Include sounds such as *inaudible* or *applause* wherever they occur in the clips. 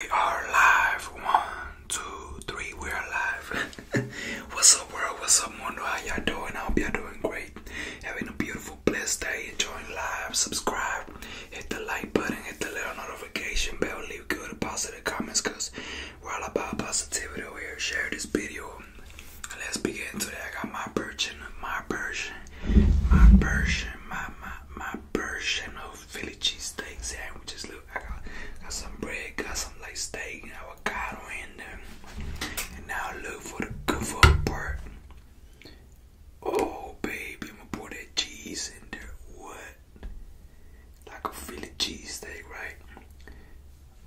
We are live. One, two, three. We are live. *laughs* what's up, world? What's up, mundo? How y'all doing? I hope y'all doing great. Having a beautiful, blessed day. Enjoying life. Subscribe. Hit the like button. Hit the little notification bell. Leave good positive comments because we're all about positivity over here. Share this video. Let's begin today. I got my version, my version, my version, my my my version of Philly cheesesteak sandwiches. Look, I got, some bread, got some like steak avocado in there. And now look for the good food part. Oh baby, I'ma pour that cheese in there. What? Like a Philly cheesesteak, right?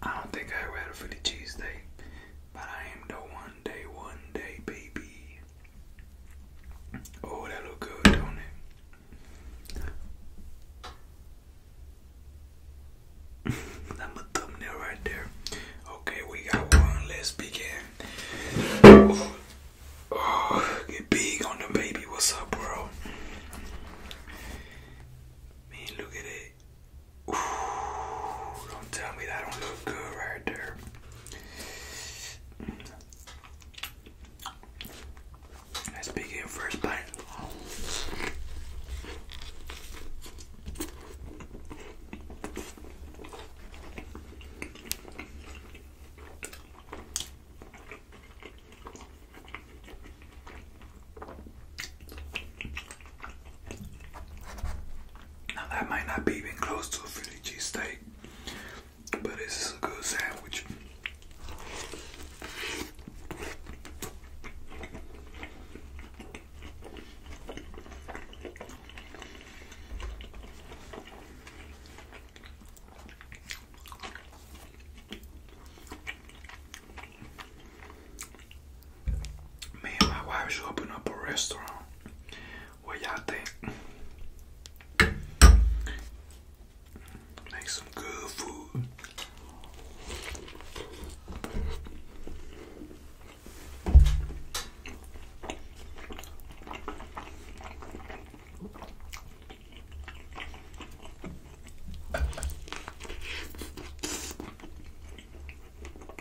I don't think I ever had a Philly cheesesteak, but I am the one day, one day, baby. Oh, that look good, don't it? I'm *laughs* thumbnail right there. Okay, we got one. Let's begin. Oh, oh, get big on the baby. What's up, bro? Man, look at it. don't tell me that don't look good right there. Let's begin first bite. Now that might not be even close to a Philly cheesesteak, but this is a good sandwich. Me my wife should open up a restaurant. Wayate. Make some good food.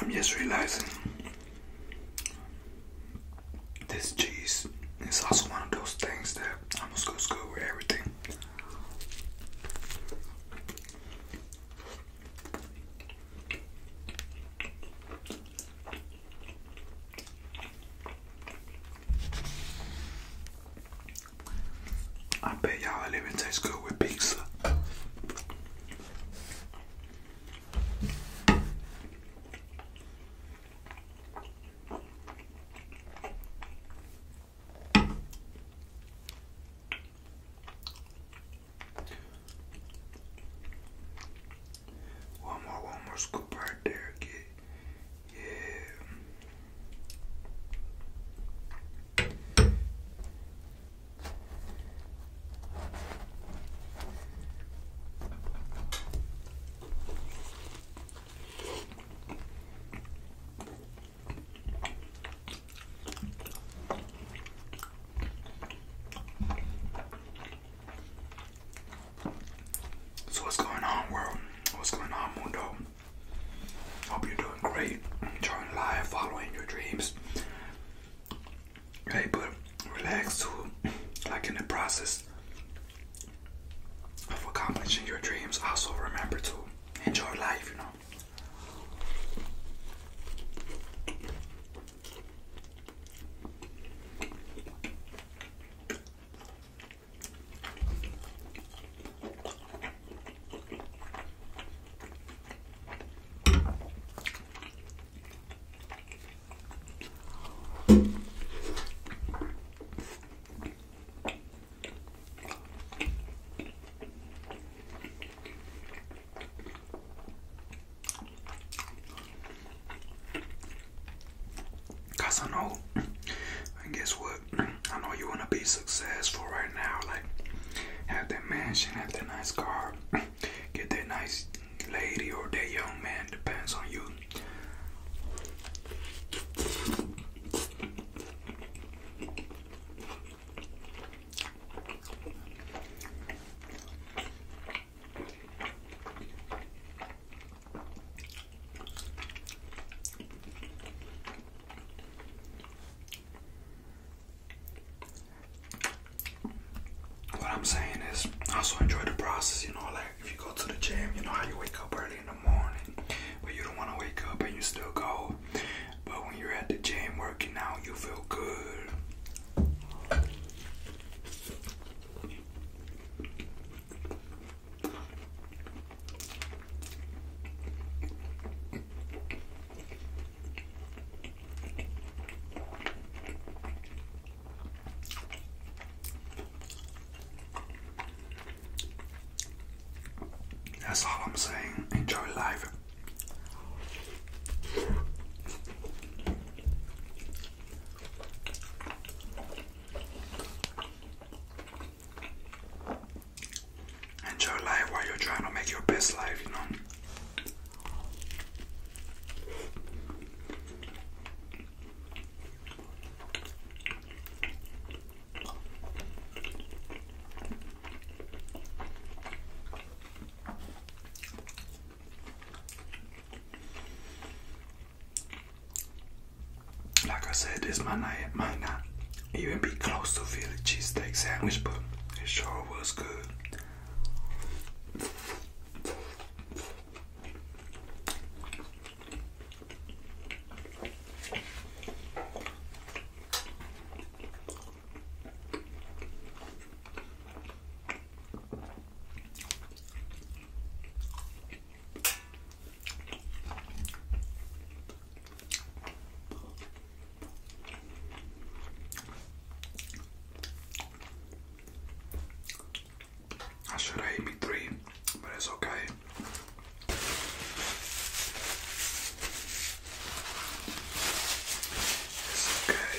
I'm just realizing this cheese is also one of those things that almost goes good with everything. I bet y'all it living taste good with pizza. One more, one more scoop right there, kid. Yeah. So what's going on, world? What's going on, Mundo? Hope you're doing great. Enjoying life, following your dreams. Hey, but relax too, like in the process of accomplishing your dreams, also remember to enjoy life, you know. Cause I know, and guess what? I know you wanna be successful right now, like have that mansion, have that nice car, get that nice lady or that young man, depends on you. What I'm saying is, also enjoy the process. You know, like if you go to the gym, you know how you wake up early in the morning, but you don't want to wake up and you still go. But when you're at the gym working out, you feel good. That's all I'm saying. Enjoy life enjoy life while you're trying to make your best life, you know. Like I said, this might not, might not even be close to Philly cheesesteak sandwich, but it sure was good. I should have ate me three, but it's okay.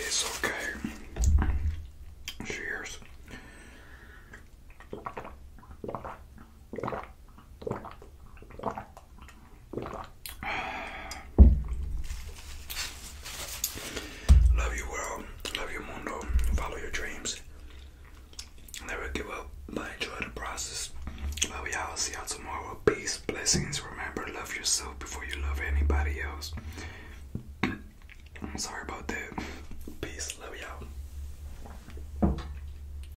It's okay, it's okay. Cheers. Love your world, love your mundo, follow your dreams. Never give up, but enjoy the process. Love y'all. See y'all tomorrow. Peace, blessings. Remember, love yourself before you love anybody else. *clears throat* I'm sorry about that. Peace. Love y'all.